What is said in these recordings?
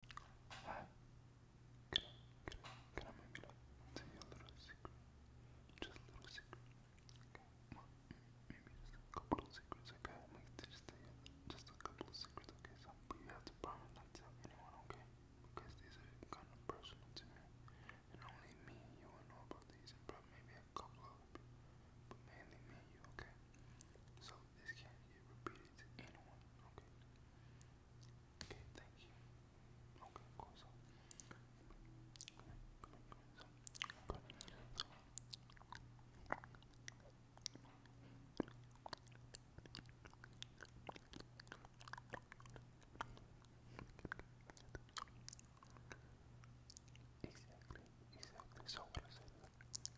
Hi. Can I, can I, maybe tell you a little secret? Just a little secret. Okay. maybe just a couple of secrets, okay? just tell just a couple of secrets, okay? So, but you have to promise not tell anyone, okay? Because these are kind of personal to me. And only me and you will know about these, and probably maybe a couple of people. But mainly me and you, okay? So, this candy repeat it to anyone, okay? Okay, thank you. Okay, of course.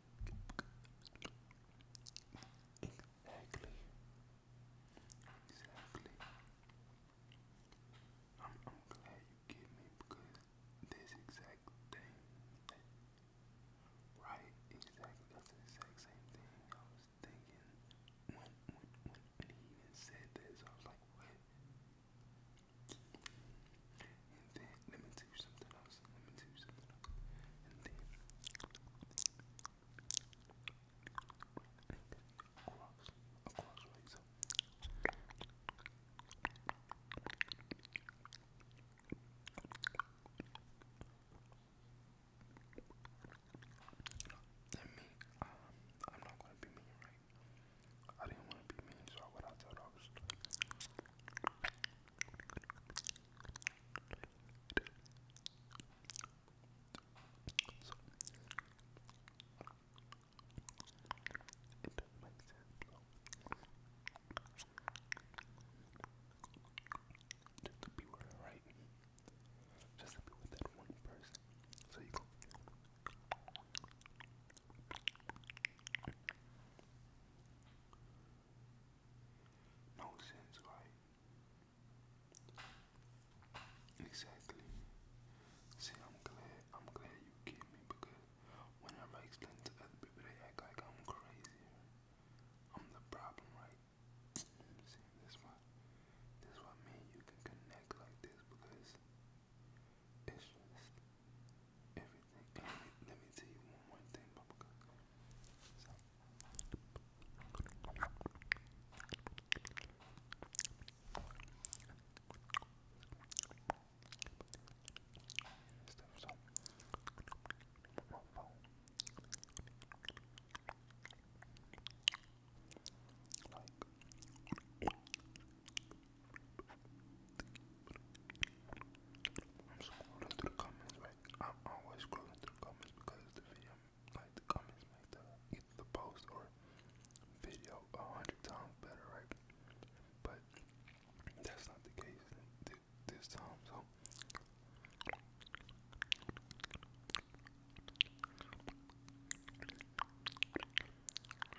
Exactly. Exactly. I'm, I'm glad you get me because this exact thing, right? Exactly. That's the exact same thing I was thinking when when when he even said this. I was like, and then let me do something else. Let me do something else. And then I'm not gonna be mean, right? I didn't want to be mean, so what I thought I was. So, it doesn't make sense, so. Just to be with right? Just to be with that one person. So you go. No sense, right? Exactly. See, I'm glad. I'm glad you get me because whenever I explain to other people, they act like I'm crazy. I'm the problem, right? See, that's why. That's why me and you can connect like this because it's just everything. let, me, tell you one more thing, Papa. I'm scrolling through comments, right? I'm always scrolling through comments because the video, like the comments, make the either the post or video a hundred times better, right? But that's not the case this time, so.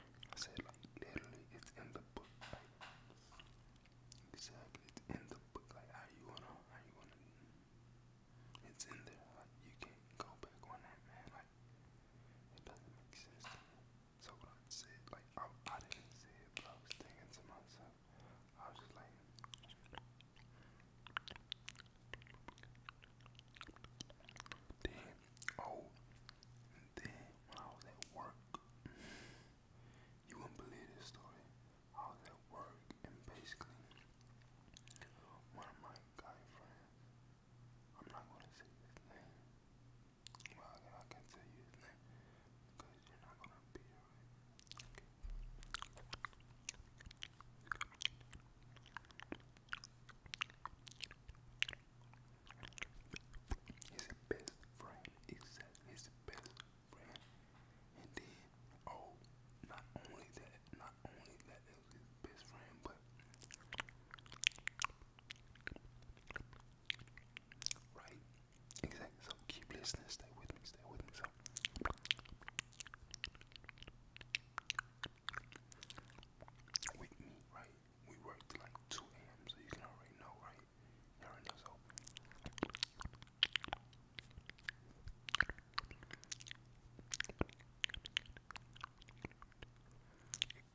I said, like, literally, it's in the book. Like, exactly, it's in the book. Like, how you wanna, how you wanna, it's in there. Like, you can't go back on that, man. Like, it doesn't make sense to me. So what I said, like, I, I didn't say it, but I was thinking to myself. I was just like. Damn, Oh, and then when I was at work, you wouldn't believe this story. I was at work, and basically, one of my guy friends, I'm not gonna say his name. Well, I, I can tell you his name because you're not gonna be here. Right? Okay. His best friend is his best friend. And then, oh, not only that, not only that his best friend, but right, exactly. So keep listening, stay with me, stay with me. So with me, right? We worked like 2 a.m., so you can already know, right? You already know, so.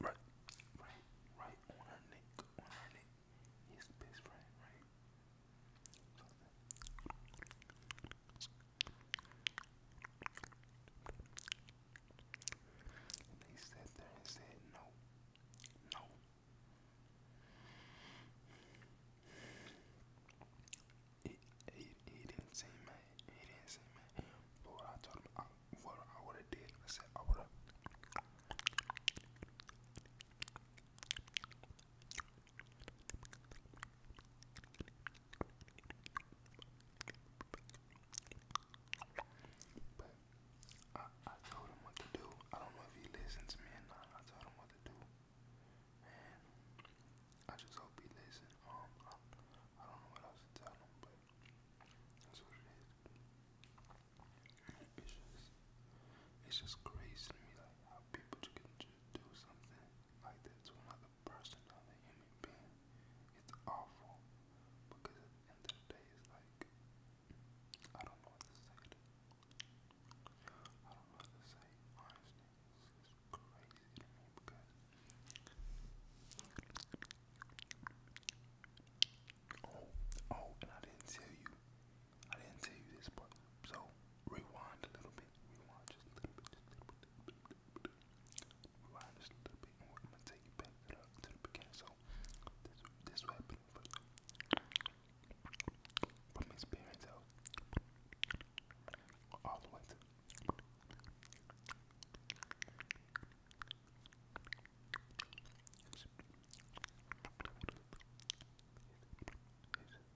Right, right, right on her neck, on her neck. His best friend, right? And they sat there and said, No, no. He, he, he didn't say man. He didn't say man. what I told him, what I would have did, I said, I would have. But I, I told him what to do. I don't know if he listened to me or not. I told him what to do. And I just hope he listened. Um, I, don't know what else to tell him, but that's what it is. It's just, it's just crazy to me, like how people can just do something like that to another person, another human being, it's awful. Because at the like, I don't know what to say. I don't know what to say. Honestly, it's crazy to me because oh, oh, and I didn't tell you. I didn't tell you this part, so rewind a little bit. Rewind just a little bit. and we're gonna take you back to the, beginning. So this this what happened his parents' house all the way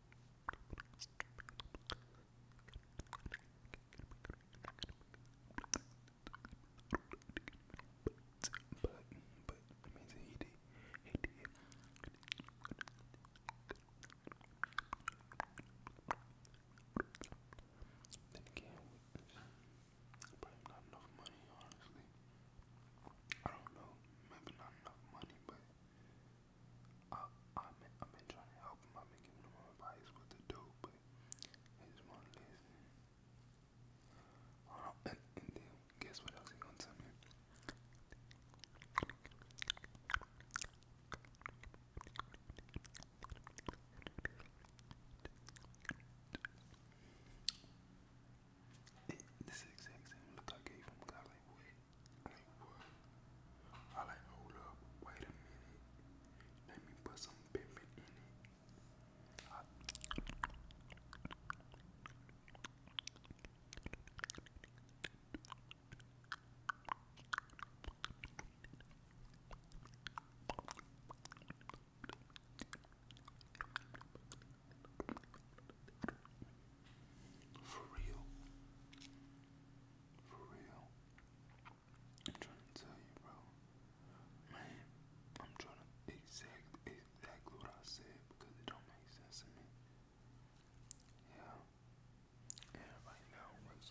but, but, amazing, he did, he did. Then again, probably not enough money, honestly. I don't know, maybe not enough money, but I, I've been, trying to help him. I've been giving him advice what to do, but he not listen. and, guess what else he gonna tell me? It, this exact same look I gave him. I like, wait, like what? I like, hold up, wait a minute. Let me put some pepper in it. For real. For real. I'm trying to tell you, bro. Man, I'm trying to exact exactly what I said because it don't make sense to me. Yeah. Yeah, right now, let's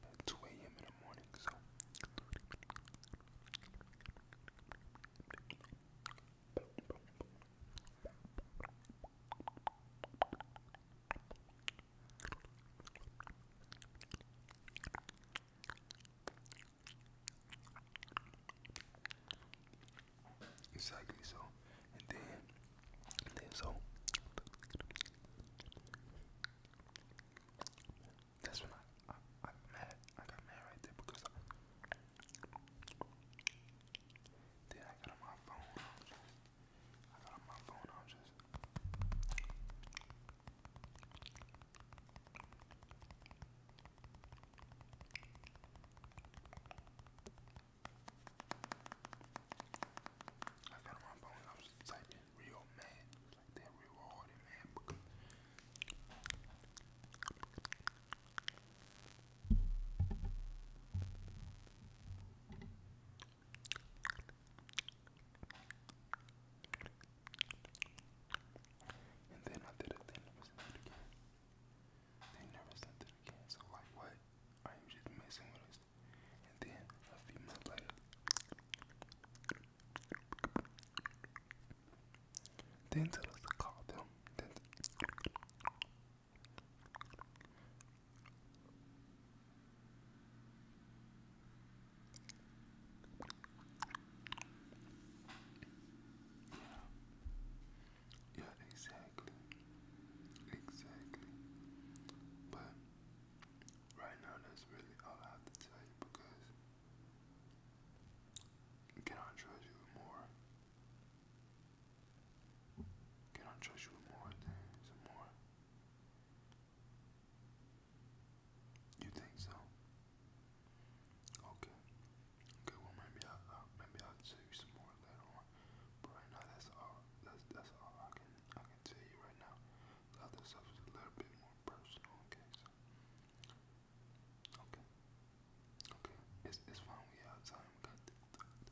about 2 a.m. in the morning, so Exactly so. And then then so that's when I, I I mad I got mad right there because then I got on my phone. I got on my phone. I was just I found my phone. I was typing real man, like that real hard man. And then I did they never sent it again. So like what? Are you just messing with us? And then a few months later Then tell us to call them. Yeah. Yeah, exactly. Exactly. But right now that's really all I have to tell you because can I trust you more? Can I trust you more things more? You think so? Okay. Okay, well maybe I uh, maybe I'll tell you some more later on. But right now that's all that's that's all I can I can tell you right now. The other stuff is a little bit more personal, okay, so Okay. Okay. It's it's fine, we have time.